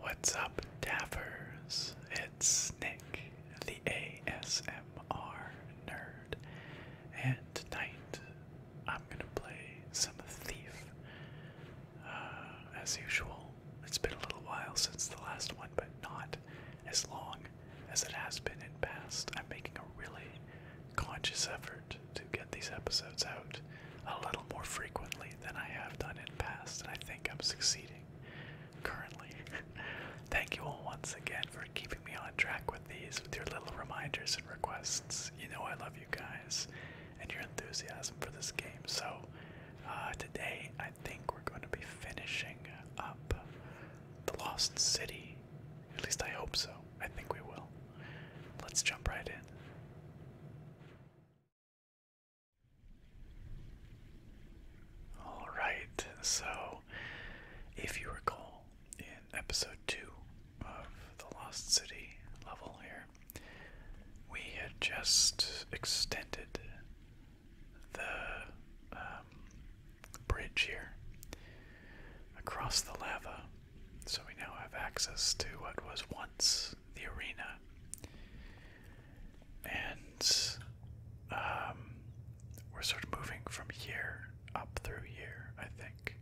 What's up, Daffers? It's Nick, the ASMR nerd, and tonight I'm gonna play some Thief. Uh, as usual, it's been a little while since the last one, but not as long as it has been in past. I'm making a really conscious effort to get these episodes out a little more frequently than I have done in past, and I think I'm succeeding currently. Thank you all once again for keeping me on track with these, with your little reminders and requests. You know I love you guys, and your enthusiasm for this game. So, uh, today I think we're going to be finishing up The Lost City. At least I hope so. I think we will. Let's jump right in. Alright, so if you recall, in episode 2 of the Lost City level here, we had just extended the um, bridge here across the lava, so we now have access to what was once the arena. And um, we're sort of moving from here up through here, I think.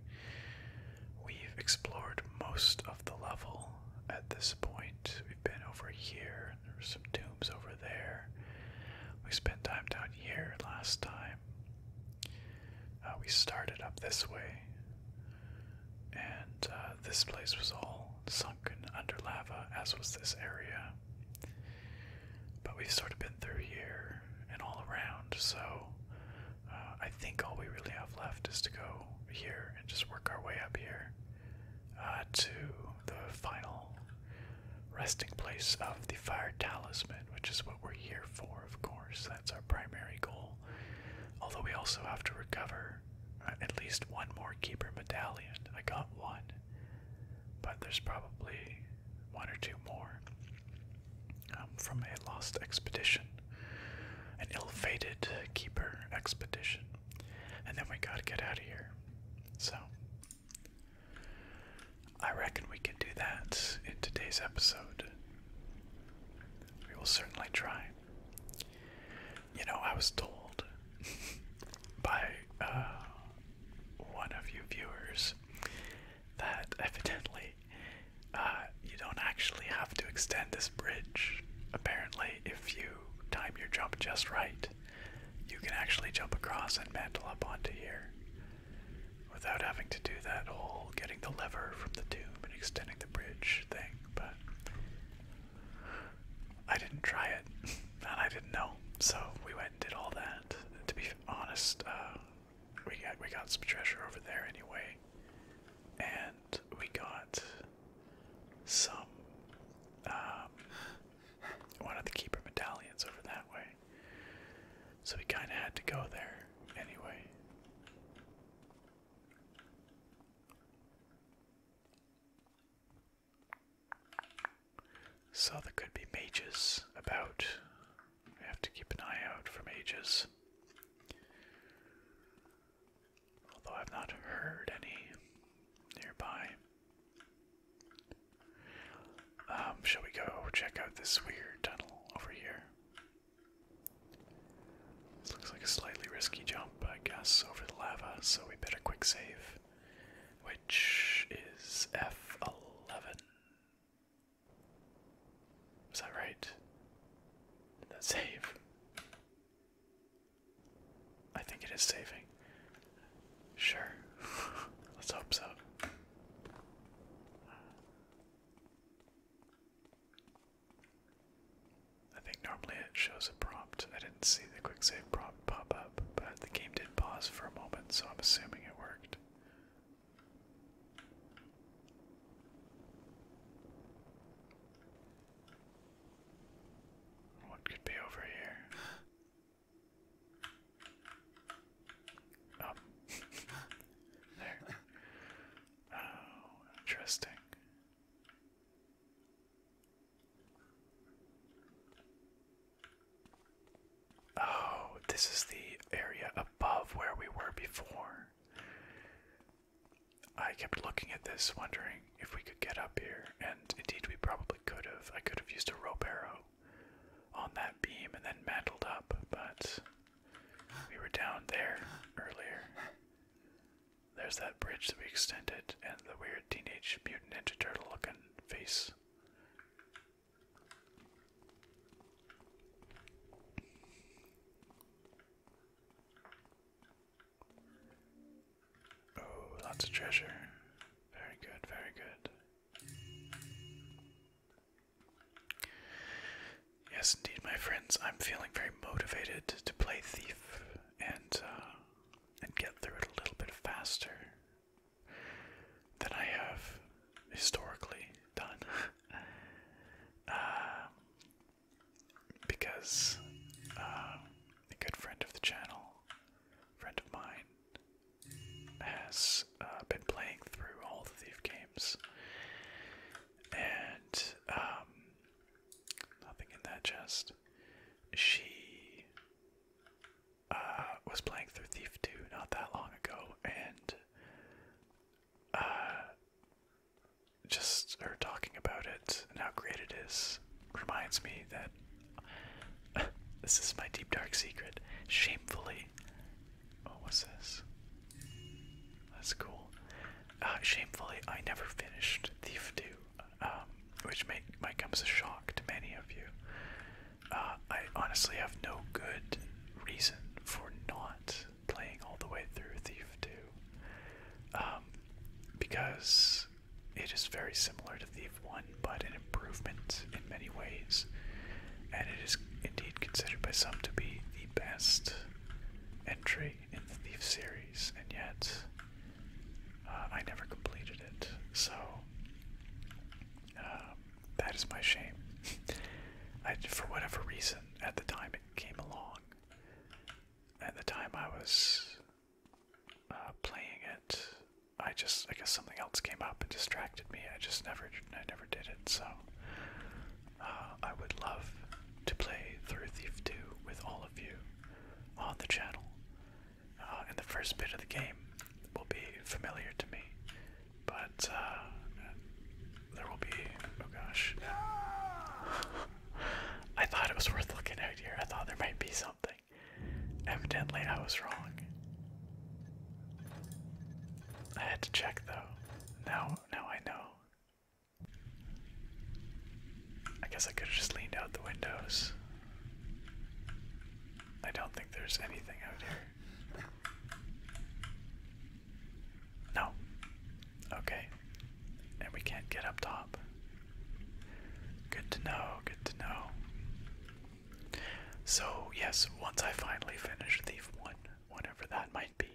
We've explored most of the level at this point. We've been over here, there are some tombs over there. We spent time down here last time. Uh, we started up this way, and uh, this place was all sunken under lava, as was this area. But we've sort of been through here and all around, so uh, I think all we really have left is to go here and just work our way up here uh, to the final resting place of the Fire Talisman, which is what we're here for, of course. That's our primary goal. Although we also have to recover uh, at least one more Keeper Medallion. I got one, but there's probably one or two more um, from a lost expedition an ill-fated keeper expedition, and then we gotta get out of here. So, I reckon we can do that in today's episode. We will certainly try. You know, I was told by uh, one of you viewers that evidently uh, you don't actually have to extend this bridge. Apparently, if you time your jump just right, you can actually jump across and mantle up onto here without having to do that whole getting the lever from the tomb and extending the bridge thing. But I didn't try it, and I didn't know, so we went and did all that. to be honest, uh, we we got some treasure over there anyway, and we got some um, one of the keeper medallions over that way. So we kind of had to go there anyway. So there could be mages about. We have to keep an eye out for mages although I've not heard any nearby. Um, shall we go check out this weird tunnel over here? This looks like a slightly risky jump, I guess, over the lava, so we better quick save, which is F11. Is that right? Did that save? I think it is saving. Sure. Let's hope so. I think normally it shows a prompt. I didn't see the quick save prompt pop up, but the game did pause for a moment, so I'm assuming it worked. What could be over here? Oh. Up. there. Oh, interesting. Oh, this is the area above where we were before. I kept looking at this, wondering if we could get up here, and indeed we probably could have. I could have used a rope arrow on that beam and then mantled up, but we were down there earlier. There's that bridge that we extended, and the weird Teenage Mutant Ninja Turtle looking face. Oh, lots of treasure. Very good, very good. Yes, indeed, my friends. I'm feeling very motivated to play Thief and uh, and get through it a little bit faster than I have historically done. Um, because uh, a good friend of the channel, friend of mine, has uh, been playing through all the Thief games, and um, nothing in that chest. She uh, was playing through Thief 2 not that long ago, and uh, just her talking about it and how great it is reminds me that this is my deep dark secret. Shamefully, oh, what's this? That's cool. Uh, shamefully, I never finished Thief 2, um, which may, might come as a shock to many of you. Uh, I honestly have no good reason for not playing all the way through Thief 2. Um, because it is very similar to Thief 1, but an improvement in many ways. And it is indeed considered by some to be the best entry in the Thief series, and yet uh, I never completed it. So um, that is my shame. I, for whatever reason, at the time it came along, at the time I was uh, playing it, I just I guess something else came up and distracted me. I just never I never did it. So uh, I would love to play through Thief 2 with all of you on the channel. Uh, and the first bit of the game will be familiar to me, but uh, there will be oh gosh. I thought it was worth looking out here. I thought there might be something. Evidently, I was wrong. I had to check though. Now, now I know. I guess I could have just leaned out the windows. I don't think there's anything out here. No, Okay. And we can't get up top. Good to know, good to know. So, yes, once I finally finish Thief 1, whenever that might be,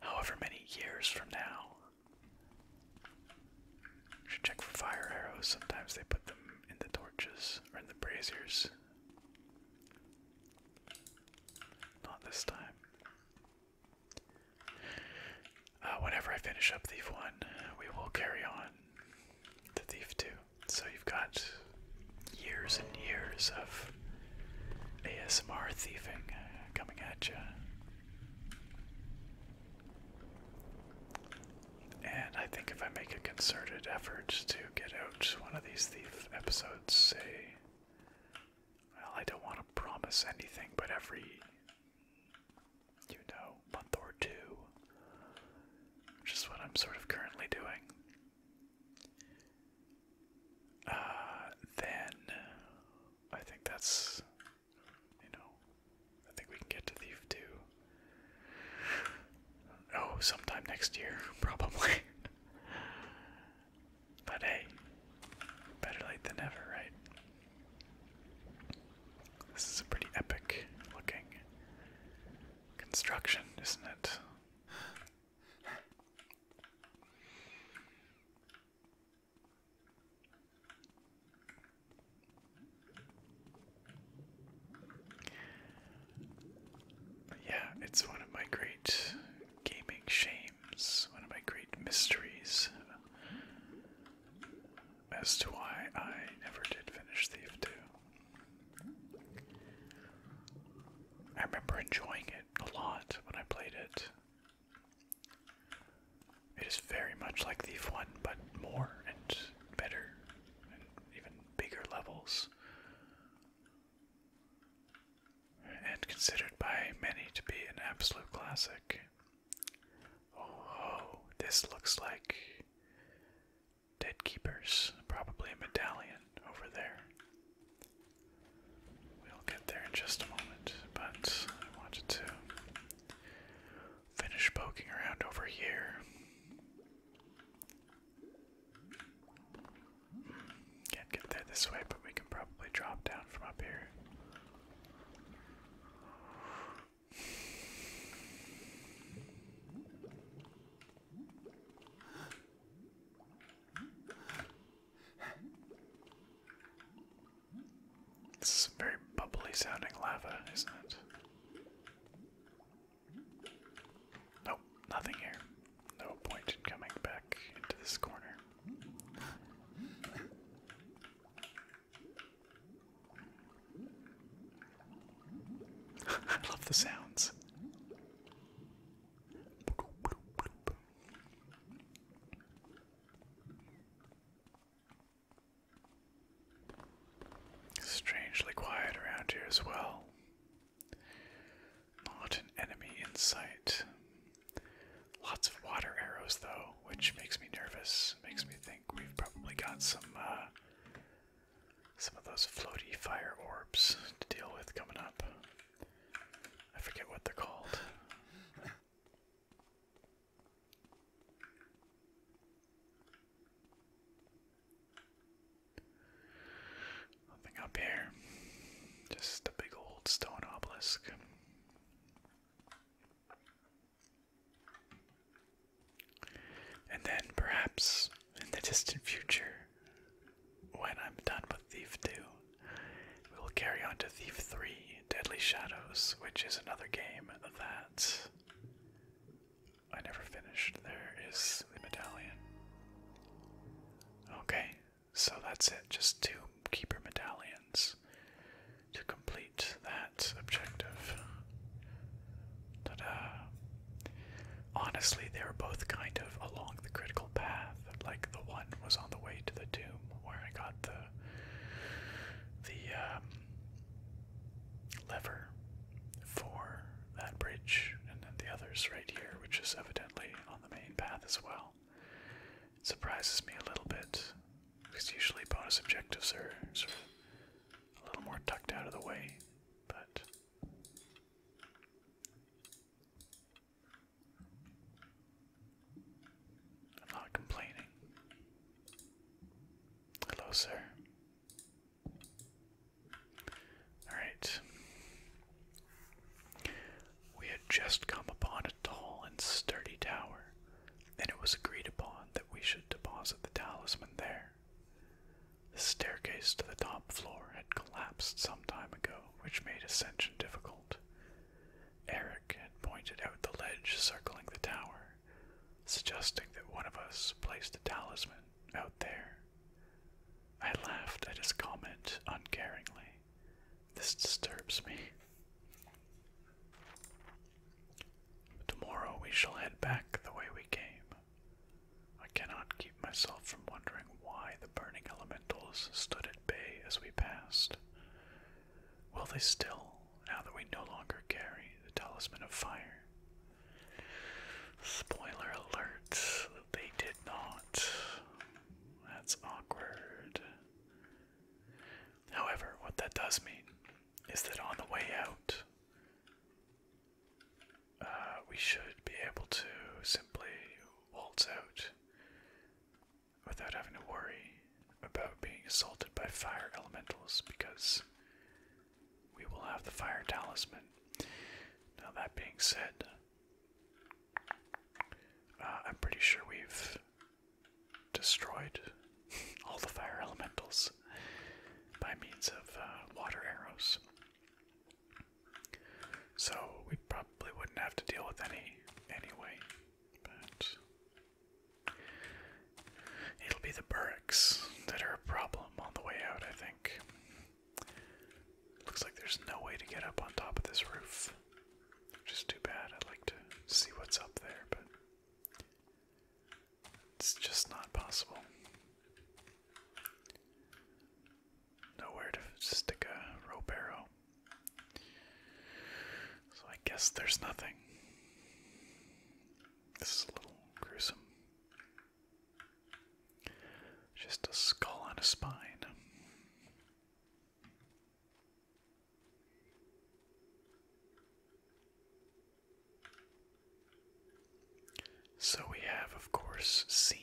however many years from now, should check for fire arrows. Sometimes they put them in the torches or in the braziers. Not this time. Uh, whenever I finish up Thief 1, we will carry on to Thief 2. So you've got years and years of ASMR thieving coming at you. And I think if I make a concerted effort to get out one of these thief episodes, say, well, I don't want to promise anything, but every you know, month or two, which is what I'm sort of currently doing. Uh, then I think that's, you know, I think we can get to Thief 2. Oh, sometime next year, probably. But hey, better late than never, right? This is a pretty epic looking construction, isn't it? Yeah, it's one of my great gaming shames, one of my great mysteries as to why I never did finish Thief 2. I remember enjoying it a lot when I played it. It is very much like Thief 1, but more and better, and even bigger levels. And considered by many to be an absolute classic. Oh, this looks like Dead Keepers. Probably a medallion over there. We'll get there in just a moment, but I wanted to finish poking around over here. Hmm, can't get there this way, but we can probably drop down from up here. It's is very bubbly sounding lava, isn't it? Nope, nothing here. No point in coming back into this corner. I love the sounds. Strangely quiet around here as well. Not an enemy in sight. Lots of water arrows, though, which makes me nervous. Makes me think we've probably got some uh, some of those floaty fire orbs to deal with coming up. I forget what they're called. Nothing up here. Just a big old stone obelisk. And then perhaps in the distant future, when I'm done with Thief 2, we will carry on to Thief 3 Deadly Shadows, which is another game that I never finished. There is the medallion. Okay, so that's it, just two keeper medallions to complete that objective. Honestly, they were both kind of along the critical path. Like the one was on the way to the tomb where I got the the um, lever for that bridge, and then the others right here, which is evidently on the main path as well. It surprises me a little bit because usually bonus objectives are sort of a little more tucked out of the way, but. I'm not complaining. Hello, sir. Alright. We had just come upon a tall and sturdy tower, and it was agreed upon that we should deposit the talisman there. The staircase to the top floor had collapsed some time ago, which made ascension difficult. Eric had pointed out the ledge circling the tower, suggesting that one of us place the talisman out there. I laughed at his comment uncaringly. This disturbs me. Tomorrow we shall head back the way we came. I cannot keep myself from wondering why the burning elementals stood at bay as we passed. Will they still, now that we no longer carry the talisman of fire? Spoiler alert, they did not. That's awkward. However, what that does mean is that on the way out, uh, we should be able to simply waltz out without having to worry about being assaulted by fire elementals because we will have the fire talisman. Now, that being said, uh, I'm pretty sure we've destroyed all the fire elementals by means of uh, water arrows. So we probably wouldn't have to deal with any anyway, but it'll be the barracks that are a problem on the way out, I think. Looks like there's no way to get up on top of this roof. Just too bad. I'd like to see what's up there, but it's just not possible. Nowhere to stick a rope arrow. So I guess there's nothing. This is a little gruesome. Just a skull on a spine. So we have, of course, seen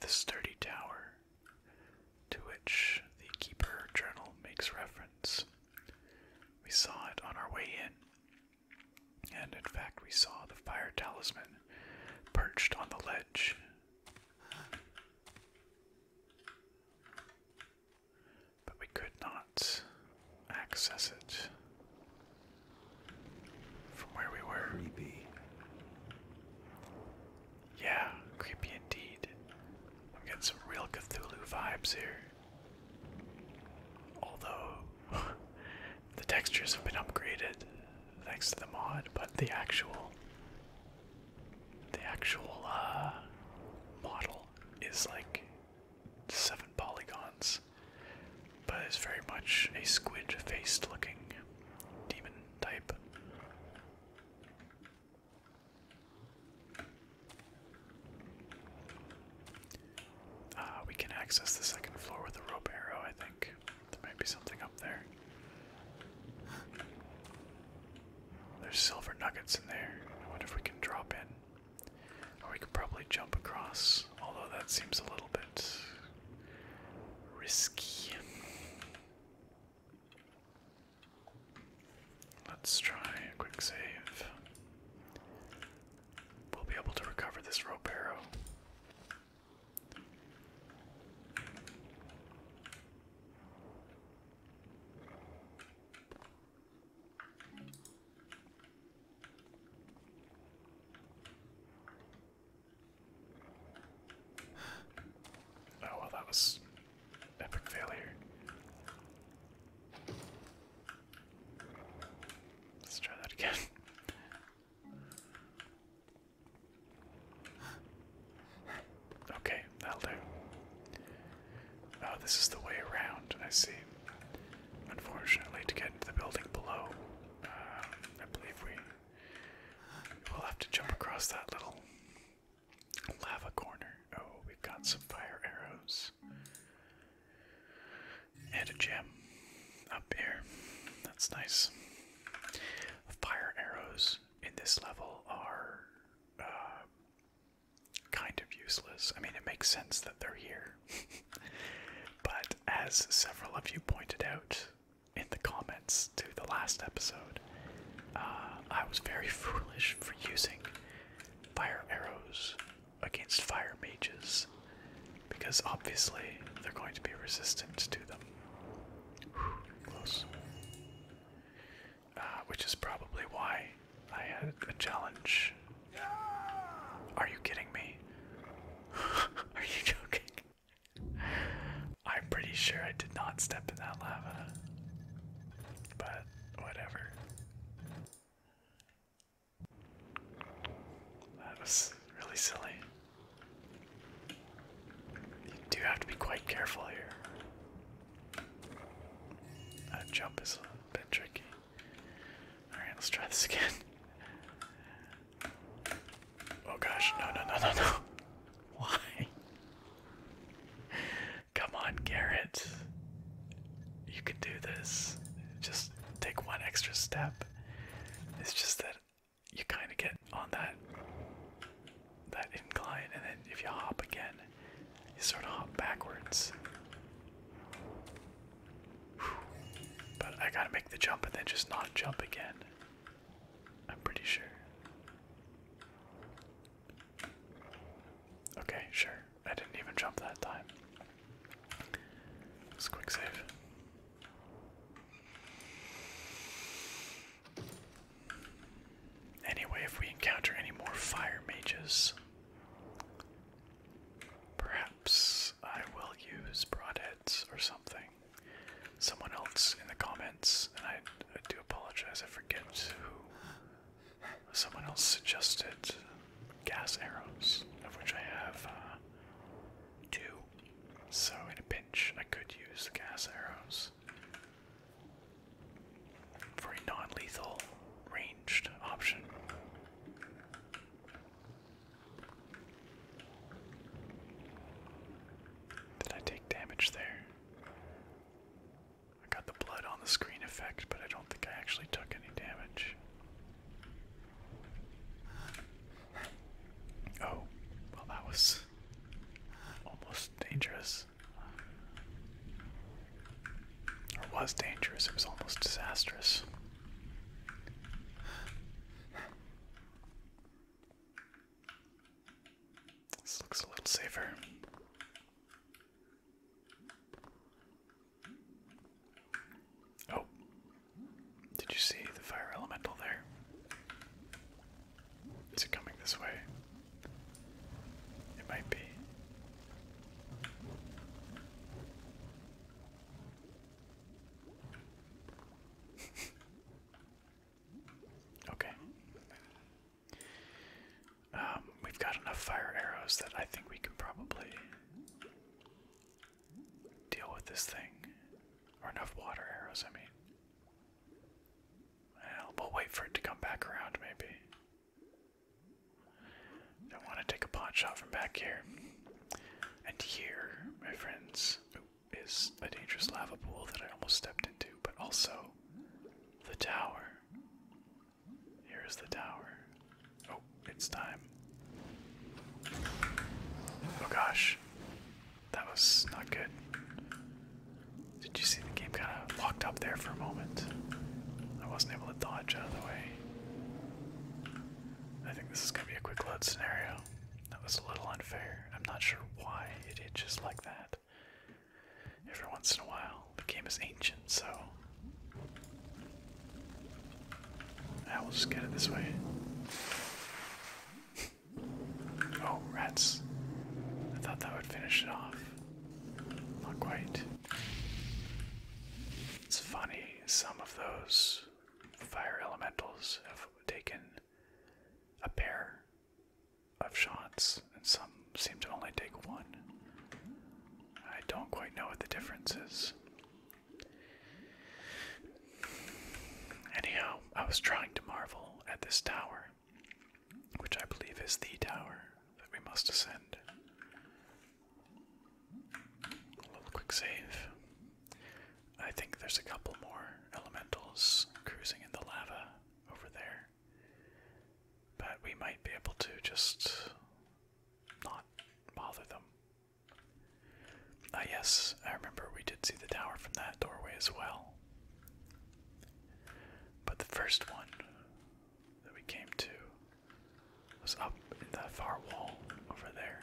the sturdy tower to which the Keeper Journal makes reference. We saw it on our way in, and in fact, we saw the fire talisman perched on the ledge but we could not access it from where we were. Creepy. Yeah, creepy indeed. I'm getting some real Cthulhu vibes here. Although the textures have been upgraded thanks to the mod, but the actual the actual uh, model is like seven polygons, but is very much a squid faced looking demon type. Ah, we can access the second floor with a rope arrow, I think. There might be something up there. There's silver nuggets in there. I wonder if we can drop in. Or we could probably jump across, although that seems a little bit risky. Let's try a quick save. We'll be able to recover this rope arrow. Oh well, that was epic failure. Let's try that again. Okay, that'll do. Oh, this is the way around, I see. Unfortunately, to get into the building below, uh, I believe we will have to jump across that little lava corner. Oh, we've got some fire arrows. And a gem up here. That's nice. Fire arrows in this level are uh, kind of useless. I mean, it makes sense that they're here. but as several of you pointed out in the comments to the last episode, uh, I was very foolish for using fire arrows against fire mages because obviously they're going to be resistant to them. close. Uh, which is probably why I had a challenge. Are you kidding me? Are you joking? I'm pretty sure I did not step in that lava. But whatever. That was really silly. You do have to be quite careful here. That uh, jump is a little bit tricky. Alright, let's try this again. Oh gosh, no, no, no, no, no. Why? Come on, Garrett. You can do this. Just take one extra step. It's just that you kind of get on that that incline, and then if you hop again, you sort of hop backwards. But I gotta make the jump and then just not jump again. I'm pretty sure. Okay, sure. I didn't even jump that time. let quick save. Anyway, if we encounter any more fire mages, perhaps I will use broadheads or something. Someone else in the comments, and I, do apologize, I forget who. Someone else suggested gas arrows, of which I have uh, two. So, in a pinch, I could use the gas arrows for a non lethal ranged option. Did I take damage there? I got the blood on the screen effect, but I don't think I actually took any damage. Oh, well, that was almost dangerous. It was dangerous, it was almost disastrous. This looks a little safer. Oh, did you see the fire elemental there? Is it coming this way? It might be. okay. Um, we've got enough fire arrows that I think we can probably deal with this thing. Or enough water arrows, I mean. Well, we'll wait for it to come back around, maybe. I want to take a pot shot from back here. And here, my friends, is a dangerous lava pool that I almost stepped into, but also the tower. Here is the tower. Oh, it's time. Oh gosh. That was not good. Did you see the game kind of locked up there for a moment? I wasn't able to dodge out of the way. I think this is going to be a quick load scenario. That was a little unfair. I'm not sure why it just like that. Every once in a while, the game is ancient, so. I ah, will just get it this way. oh, rats. I thought that would finish it off. Not quite. It's funny, some of those fire elementals have taken a pair of shots, and some seem to only take one. I don't quite know what the difference is. Anyhow, I was trying to marvel at this tower which I believe is the tower that we must ascend. A little quick save. I think there's a couple more elementals cruising in the lava over there. But we might be able to just not bother them. Ah, yes, I remember we did see the tower from that doorway as well. But the first one that we came to was up in that far wall over there.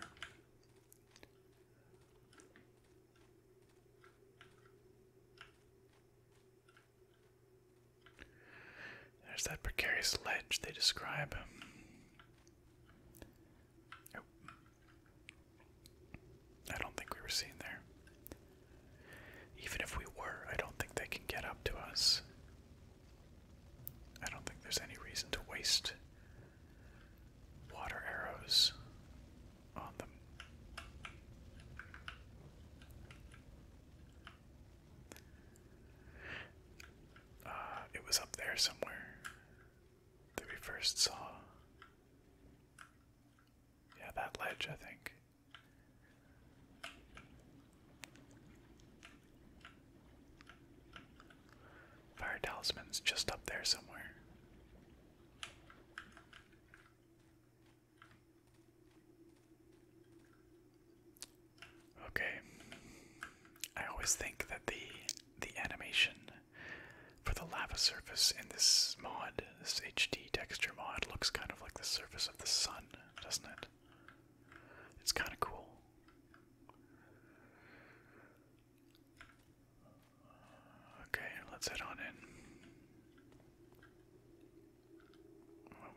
There's that precarious ledge they describe. Oh. I don't think we were seen there. Even if we were, I don't think they can get up to us. I don't think there's any reason to waste water arrows on them. Uh, it was up there somewhere that we first saw. Yeah, that ledge, I think. Fire talisman's just up there somewhere. Okay. I always think that the the animation for the lava surface in this mod, this HD texture mod, looks kind of like the surface of the sun, doesn't it? It's kind of cool. Okay, let's head on in.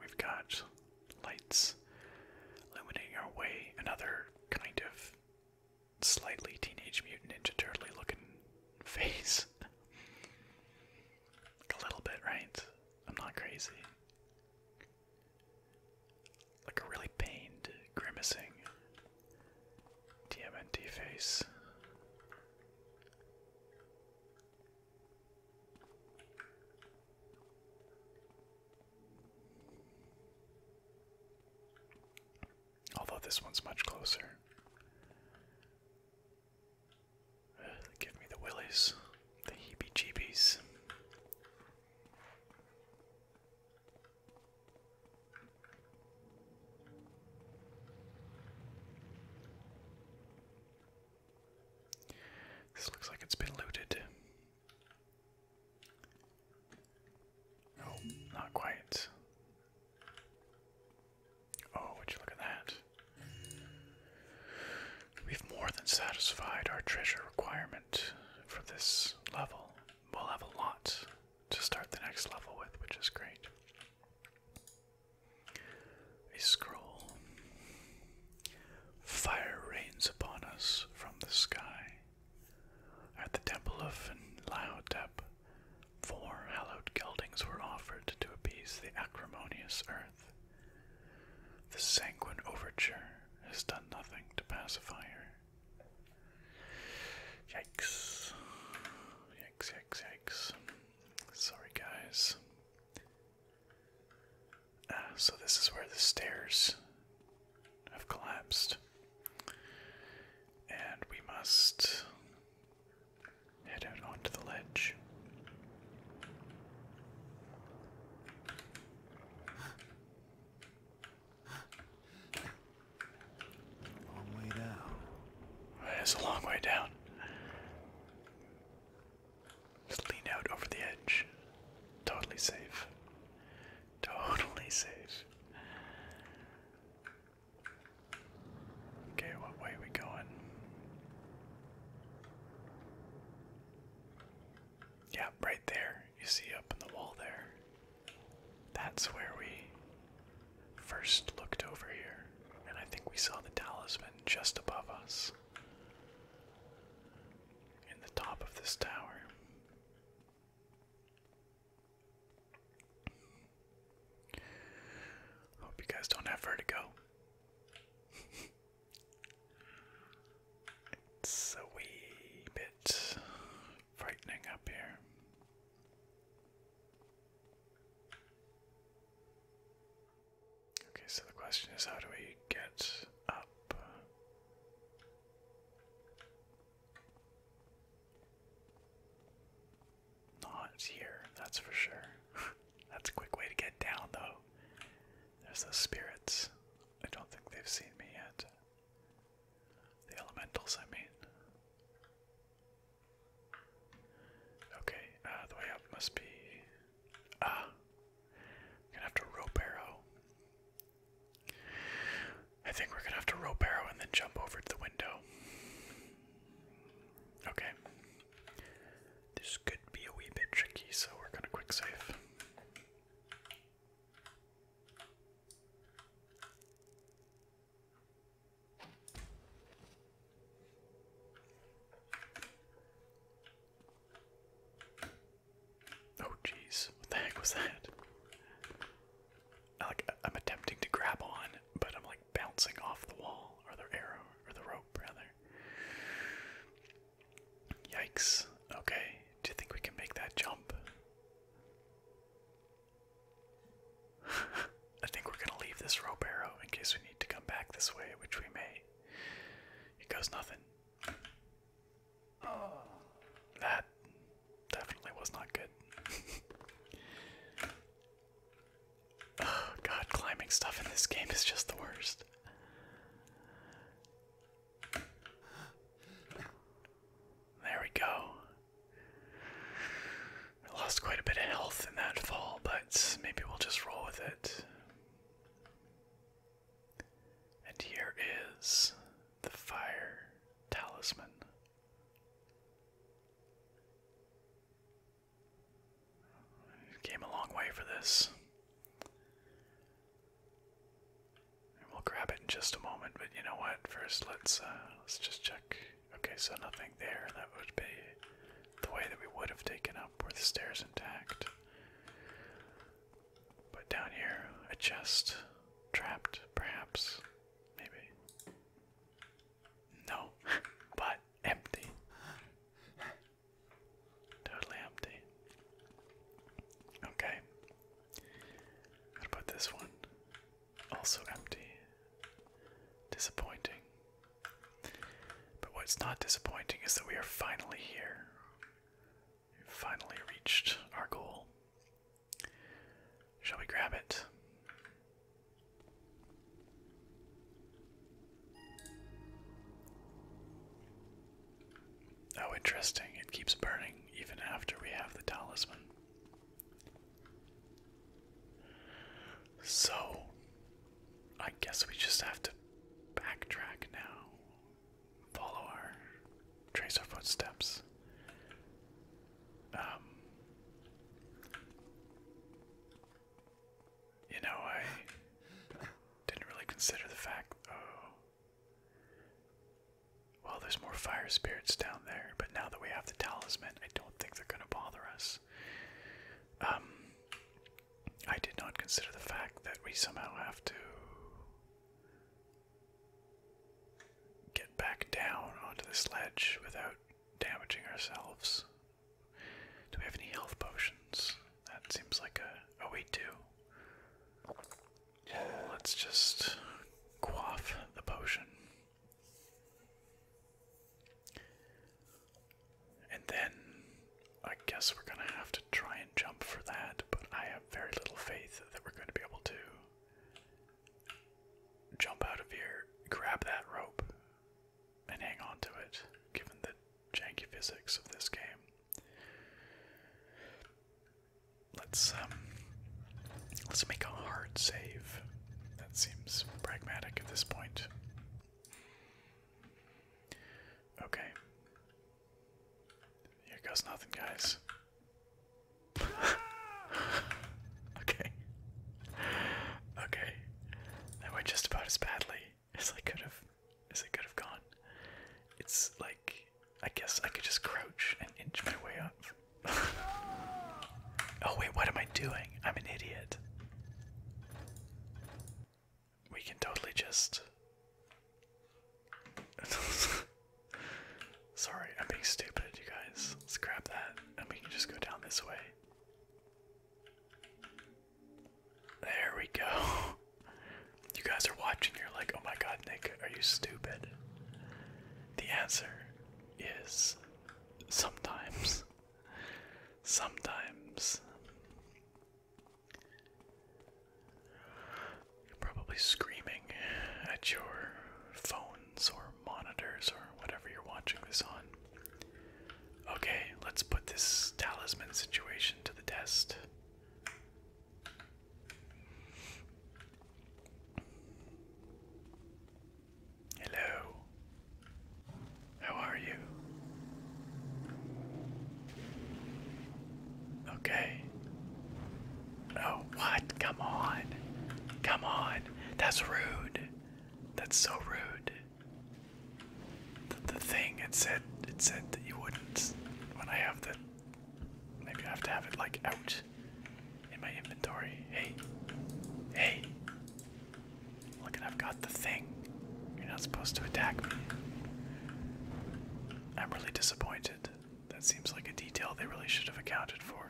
we've got lights illuminating our way. Another kind of slightly Teenage Mutant Ninja Turtle looking face a little bit, right? I'm not crazy. Like a really pained, grimacing TMNT face. Although this one's much closer. Give me the willies, the heebie jeebies. This looks like it's been looted. Oh, not quite. Oh, would you look at that? We've more than satisfied our treasure requirement for this level. We'll have a lot to start the next level with, which is great. A scroll. Fire rains upon us from the sky. At the temple of Laotep, four hallowed geldings were offered to appease the acrimonious earth. The sanguine overture has done nothing to pacify her. Yikes. Yikes, yikes, yikes. Sorry, guys. Ah, so this is where the stairs have collapsed. And we must head out onto the ledge. It's a long way down. Just lean out over the edge. Totally safe. Totally safe. Okay, what way are we going? Yeah, right there. You see up in the wall there. That's where we first looked over here, and I think we saw the talisman just above us in the top of this tower. Hope you guys don't have vertigo. It's a wee bit frightening up here. Okay, so the question is how do we get up? Not here, that's for sure. That's a quick way to get down, though. There's the spirits. I don't think they've seen me yet. The elementals, I mean. Okay, uh, the way up must be. Ah! gonna have to rope arrow. I think we're gonna have to rope arrow and then jump over to the window. Okay. This could be a wee bit tricky, so we're gonna quick save. Oh jeez, what the heck was that? like I'm attempting to grab on, but I'm like bouncing off the wall or the arrow or the rope rather. Yikes. Okay, do you think we can make that jump? I think we're gonna leave this rope arrow in case we need to come back this way, which we may. It goes nothing. Oh. That definitely was not good. oh, God, climbing stuff in this game is just the worst. There we go. I lost quite a bit of health in that fall, but maybe we'll just roll with it. And here is the fire talisman. Came a long way for this. we'll grab it in just a moment, but you know what? First, let's uh, let's just check. Okay, so nothing there. That would be the way that we would have taken up. Were the stairs intact? But down here, a chest, trapped, perhaps, maybe. No, but empty. Totally empty. Okay. What about this one? Also empty. Disappointing. But what's not disappointing is that we are finally here. We've finally reached our goal. Shall we grab it? Oh, interesting. It keeps burning even after we have the talisman. So, I guess we just have to backtrack now. Follow our. trace our footsteps. Um. You know, I didn't really consider the fact. Oh, well, there's more fire spirits down there, but now that we have the talisman, I don't think they're going to bother us. Um, I did not consider the fact that we somehow have to get back down onto this ledge without damaging ourselves. Do we have any health potions? That seems like a. Oh, we do. Let's just quaff the potion. And then I guess we're gonna have to try and jump for that, but I have very little faith that we're gonna be able to jump out of here, grab that rope, and hang on to it, given that janky physics of this game. Let's um let's make a hard save. That seems pragmatic at this point. Okay. Here goes nothing, guys. okay. Okay. That went just about as badly as I could have as I could have gone. It's like I guess I could just crouch and inch my way up. oh wait, what am I doing? I'm an idiot. We can totally just Sorry, I'm being stupid, you guys. Let's grab that and we can just go down this way. There we go. You guys are watching, you're like, oh my god, Nick, are you stupid? The answer is sometimes. Sometimes. You're probably screaming at your phones or monitors or whatever you're watching this on. Okay, let's put this talisman situation to the test. Hello. How are you? Okay. Oh, what? Come on. Come on. That's rude. That's so rude the, the thing it said it said that you wouldn't when I have the maybe I have to have it like out in my inventory. Hey. Hey. Look at I've got the thing. You're not supposed to attack me. I'm really disappointed. That seems like a detail they really should have accounted for.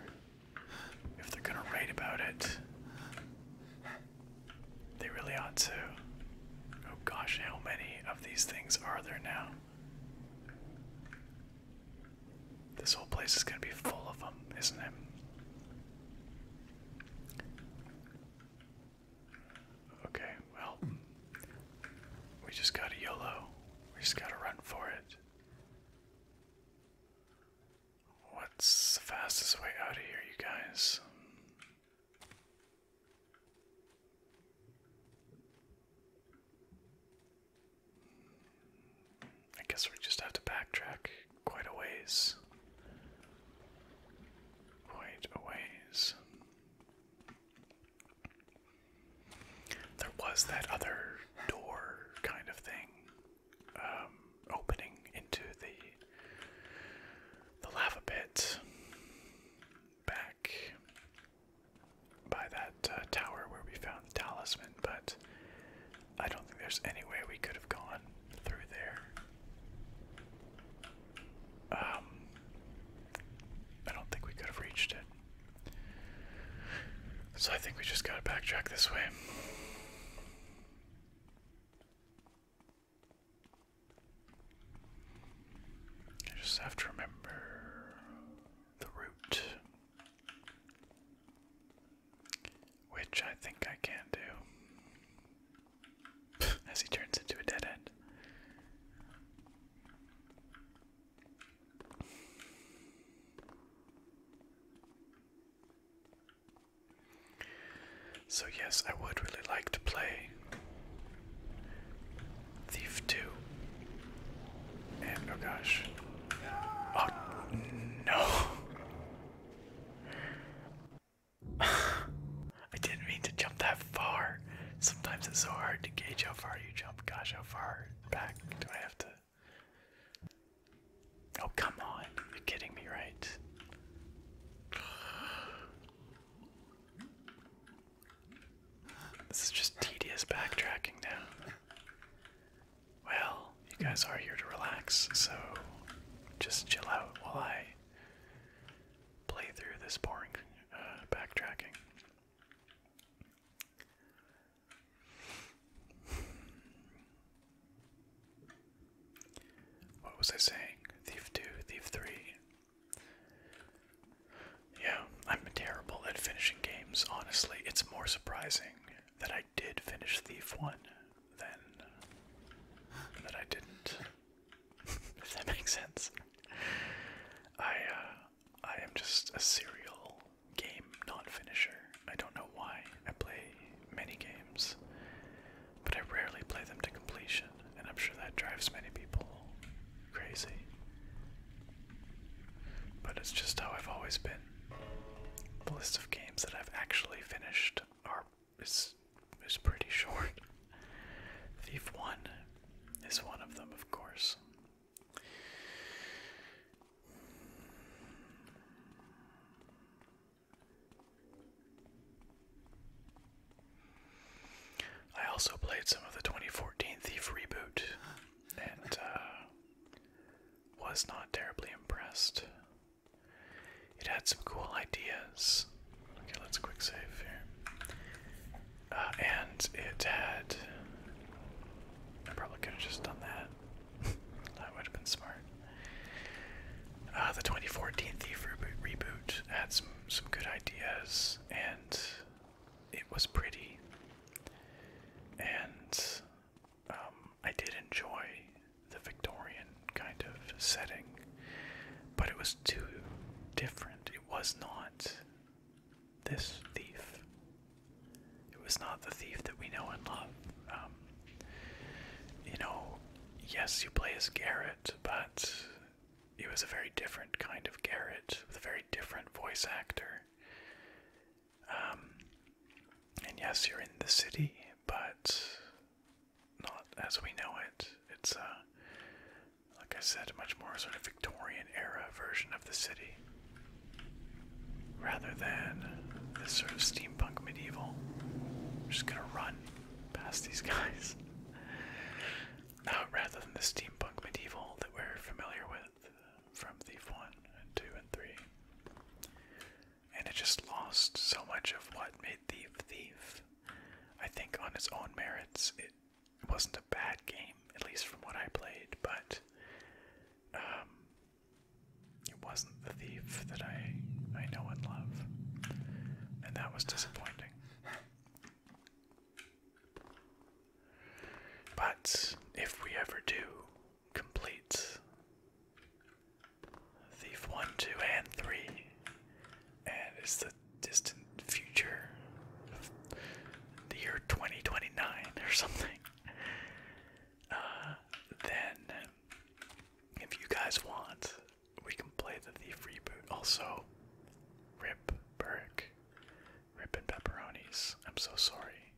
If they're gonna write about it. They really ought to. Oh gosh, how many of these things are there now? This whole place is going to be full of them, isn't it? Okay, well, we just got to YOLO. We just got to run for it. What's the fastest way out of here, you guys? I guess we just have to backtrack quite a ways. Quite a ways. There was that other door kind of thing um, opening into the the lava pit back by that uh, tower where we found talisman, but I don't think there's any way we could have gone through there. Um, I don't think we could have reached it. So I think we just gotta backtrack this way. I just have to remember the route, which I think I can do as he turns into a dead end. So, yes, I would really like to play Thief 2. And oh gosh. Oh no! I didn't mean to jump that far. Sometimes it's so hard to gauge how far you jump. Gosh, how far back do I have to? Oh, come on. You're kidding me, right? This is just tedious backtracking now. Well, you guys are here to relax, so just chill out while I play through this boring uh, backtracking. What was I saying? Thief 2, Thief 3. Yeah, I'm terrible at finishing games, honestly. It's more surprising that I did finish Thief 1 than that I didn't. if that makes sense. I uh, I am just a serial game non-finisher. I don't know why. I play many games but I rarely play them to completion, and I'm sure that drives many people crazy. But it's just how I've always been. The list of games that I've actually finished are is is pretty short. Thief 1 is one of them, of course. I also played some of the 2014 Thief reboot and uh, was not terribly impressed. It had some cool ideas. Okay, let's quick save here. Uh, and it had. I probably could have just done that. that would have been smart. Uh, the 2014 Thief reboot had some some good ideas, and it was pretty. And um, I did enjoy the Victorian kind of setting, but it was too different. It was not this thief. It was not the thief that we know and love. Um, you know, yes, you play as Garrett, but it was a very different kind of Garrett with a very different voice actor. Um, and yes, you're in the city, but not as we know it. It's like I said, much more sort of Victorian era version of the city, rather than this sort of steampunk medieval. just gonna run past these guys rather than the steampunk medieval that we're familiar with uh, from Thief 1 and 2 and 3. And it just lost so much of what made Thief Thief. I think on its own merits, it wasn't a bad game, at least from what I played, but um, it wasn't the Thief that I, I know and love. And that was disappointing. But if we ever do complete Thief 1, 2, and 3, and it's the distant future the year 2029 or something, uh, then if you guys want, we can play the Thief reboot. Also, Rip Burke. Rip and pepperonis. I'm so sorry.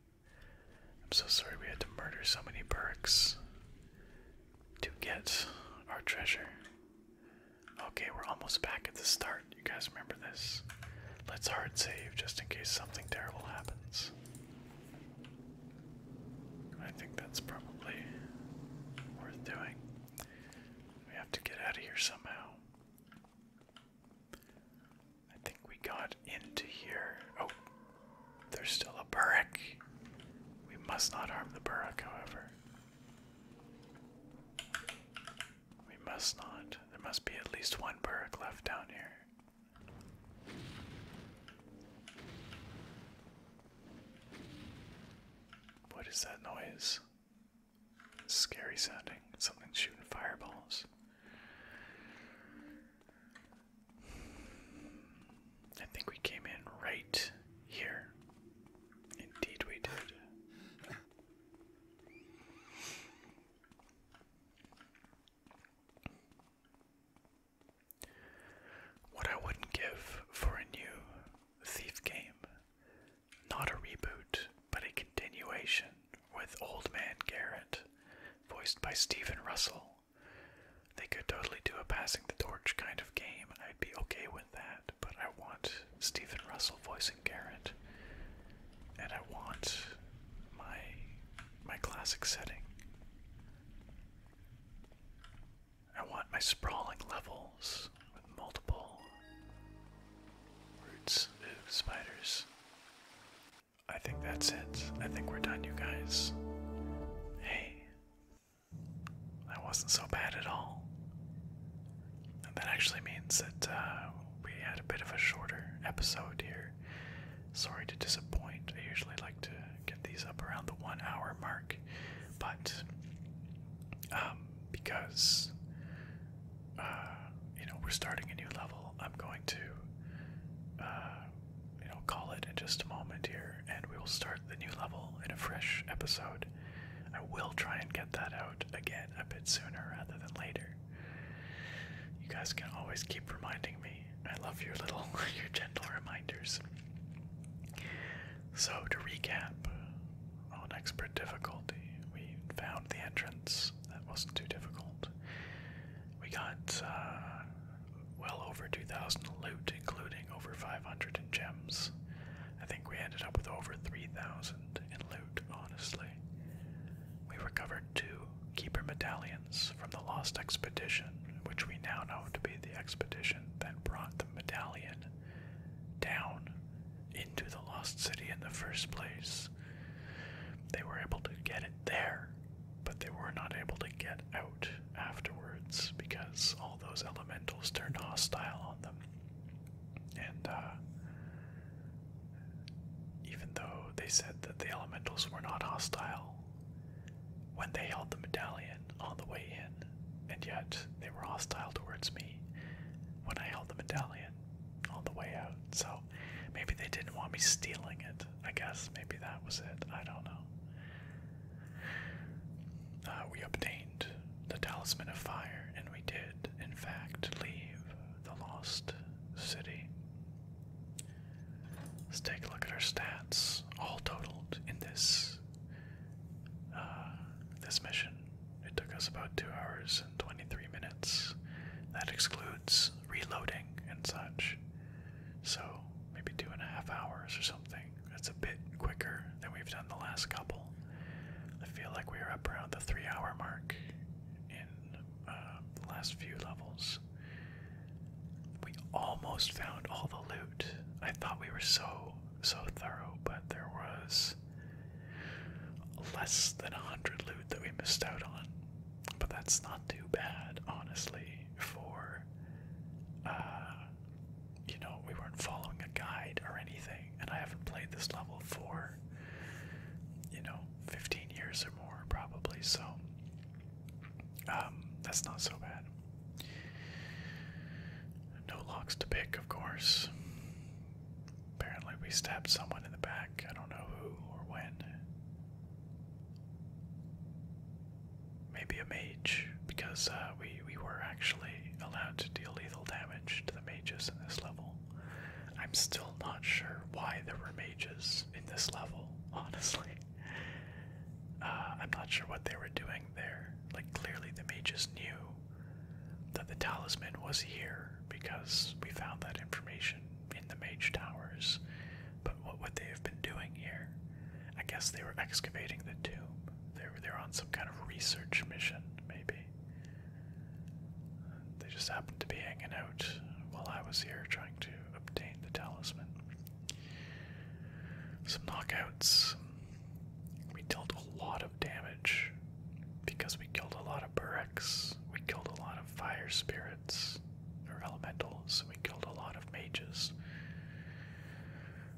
I'm so sorry we had to murder so many Burks to get our treasure. Okay, we're almost back at the start. You guys remember this? Let's hard save just in case something terrible happens. I think that's probably worth doing. We have to get out of here somehow. I think we got into here. Oh, there's still a burrock. We must not harm the burrock, however. We must not. There must be at least one burrock left down here. What is that noise? Scary sounding. Something shooting fireballs. I think we came in right here. Indeed, we did. What I wouldn't give for a new thief game not a reboot, but a continuation with Old Man Garrett, voiced by Stephen Russell. They could totally do a passing the torch kind of game. I'd be okay with that, but I want Stephen Russell voicing Garrett. And I want my my classic setting. I want my sprawling levels with multiple roots of spiders. I think that's it. I think we're done, you guys. Hey, that wasn't so bad at all. that actually means that uh, we had a bit of a shorter episode here. Sorry to disappoint. I usually like to get these up around the one hour mark, but um, um, because uh, you know we're starting a new level. I'm going to uh, you know call it in just a moment here, and we will start the new level in a fresh episode. I will try and get that out again a bit sooner rather than later. You guys can always keep reminding me. I love your little, your gentle reminders. So, to recap, on oh, expert difficulty, we found the entrance. That wasn't too difficult. We got uh, well over 2,000 loot, including over 500 in gems. I think we ended up with over 3,000 in loot, honestly. We recovered two keeper medallions from the lost expedition, which we now know to be the expedition that brought the medallion down into the Lost City in the first place. They were able to get it there, but they were not able to get out afterwards because all those elementals turned hostile on them. And uh, even though they said that the elementals were not hostile, when they held the medallion on the way in, and yet they were hostile towards me when I held the medallion on the way out. So maybe they didn't want me stealing it. I guess maybe that was it. I don't know. Uh, we obtained the Talisman of Fire, and we did, in fact, leave the Lost City. Let's take a look at our stats, all totaled in this uh, this mission. It took us about 2 hours and 23 minutes. That excludes reloading and such. So, maybe two and a half hours or something. That's a bit quicker than we've done the last couple. I feel like we are up around the three hour mark in uh, the last few levels. We almost found all the loot. I thought we were so so thorough, but there was less than 100 loot that we missed out on. But that's not too bad, honestly, for, uh, you know, we weren't following a guide or anything, and I haven't played this level for, you know, 15 years or more, probably, so, um, that's not so bad. No locks to pick, of course. Apparently, we stabbed someone in the back. I don't know who or when. Maybe a mage, because uh, we we were actually allowed to deal lethal damage to the mages in this level. I'm still not sure why there were mages in this level. Honestly, uh, I'm not sure what they were doing there. Like clearly, the mages knew that the talisman was here because we found that information in the mage towers. But what would they have been doing here? I guess they were excavating the tomb. They were they're on some kind of research mission, maybe. They just happened to be hanging out while I was here trying to obtain the talisman. Some knockouts, we dealt a lot of damage because we killed a lot of Bureks, we killed a lot of fire spirits or elementals, we killed a lot of mages.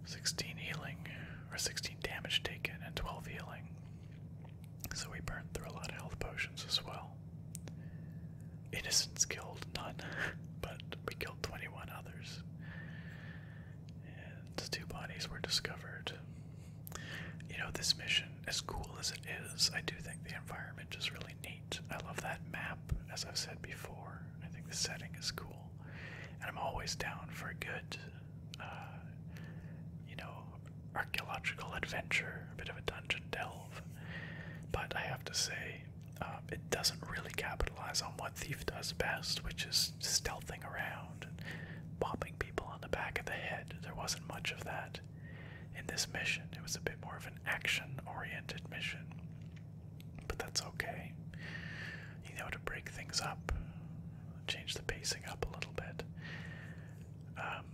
16 healing, or 16 damage taken, and 12 healing. So we burned through a lot of health potions as well. Innocents killed none, but we killed 21 others. And two bodies were discovered you know, this mission, as cool as it is, I do think the environment is really neat. I love that map, as I've said before. I think the setting is cool. And I'm always down for a good, uh, you know, archaeological adventure, a bit of a dungeon delve. But I have to say, um, it doesn't really capitalize on what Thief does best, which is stealthing around and bopping people on the back of the head. There wasn't much of that in this mission. It was a bit more of an action oriented mission. But that's okay. You know, to break things up, change the pacing up a little bit. Um,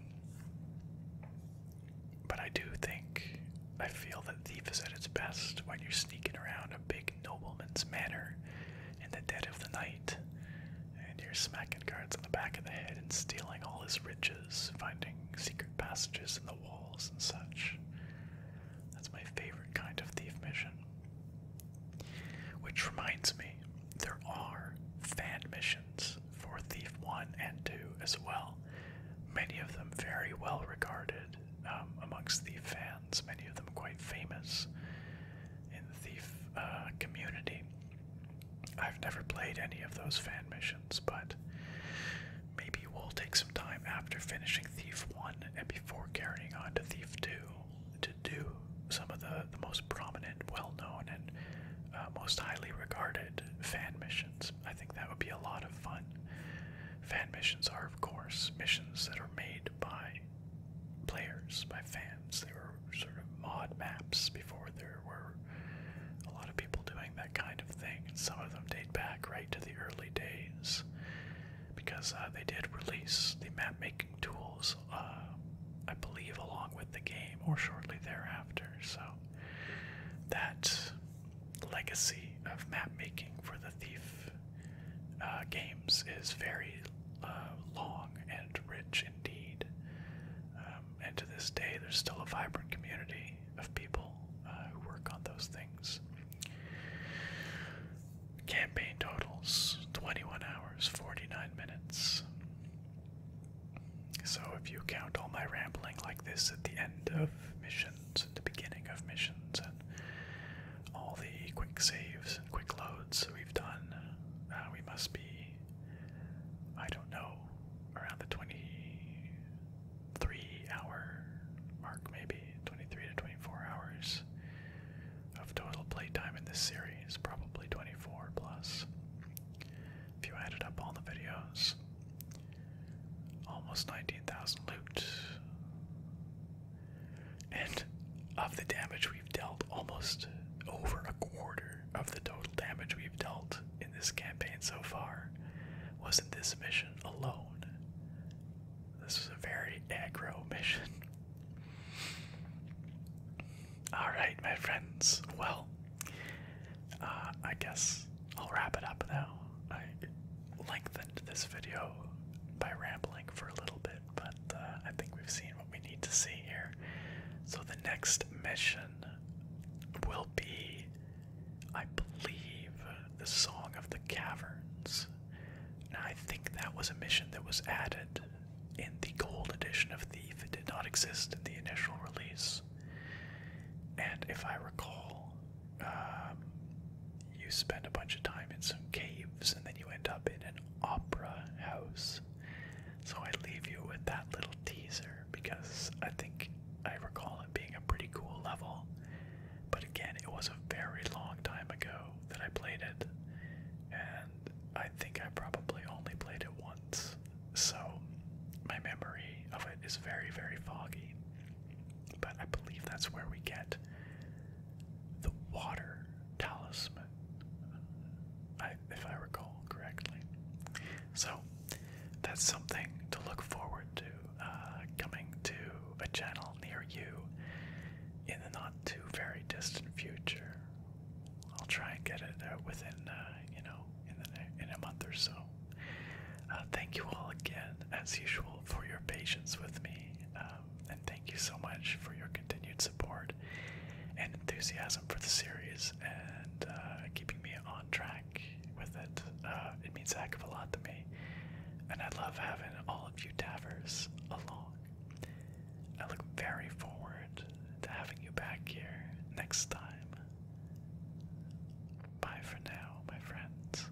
but I do think, I feel that Thief is at its best when you're sneaking around a big nobleman's manner in the dead of the night. And you're smacking guards on the back of the head and stealing all his riches, finding secret passages in the walls and such. That's my favorite kind of thief mission. Which reminds me, there are fan missions for Thief 1 and 2 as well. Many of them very well regarded um, amongst the fans, many of them quite famous in the Thief uh, community. I've never played any of those fan missions, but maybe we'll take some time after finishing Thief 1 and before carrying on to Thief 2 to do some of the, most prominent, well known, and uh, most highly regarded fan missions. I think that would be a lot of fun. Fan missions are, of course, missions that are made by players, by fans. They were sort of mod maps before there were a lot of people doing that kind of thing, and some of them date back right to the early days because uh, they did release the map making tools, uh, I believe, along with the game or shortly thereafter. So that legacy of map making for the Thief uh, games is very uh, long and rich indeed. Um, and to this day, there's still a vibrant community of people uh, who work on those things. Campaign totals 21 hours, 49 minutes. So, if you count all my rambling like this at the end of missions, and the beginning of missions, and all the quick saves and quick loads we've done. Uh, we must be, I don't know, around the 23 hour mark, maybe 23 to 24 hours of total playtime in this series, probably 24 plus. If you added up all the videos, almost 19,000 loot and of the damage we've dealt, almost over a quarter of the total damage we've dealt in this campaign so far was in this mission alone. This was a very aggro mission. Alright, my friends. Well, uh, I guess I'll wrap it up now. I lengthened this video by rambling for a little bit but uh, I think we've seen what we need to see here. So the next mission will be, I believe, the Song of the Caverns. Now I think that was a mission that was added in the gold edition of Thief. It did not exist in the initial release. And if I recall, um, you spend a bunch of time in some caves and then you end up in an opera house. So I leave you with that little teaser because I think I recall it being a pretty cool level. But again, it was a very long time ago that I played it, and I think I probably only played it once. So my memory of it is very, very foggy. But I believe that's where we get the water talisman, if I recall correctly. So that's something to look forward to uh, coming to a channel near you in the not too very distant future. I'll try and get it out within, uh, you know, in, the, in a month or so. Uh, thank you all again, as usual, for your patience with me, um, and thank you so much for your continued support and enthusiasm for the series and uh, keeping me on track with it. Uh, it means a heck of a lot to me, and I love having all of you Davers along. I look very forward to having you back here next time. Bye for now, my friends.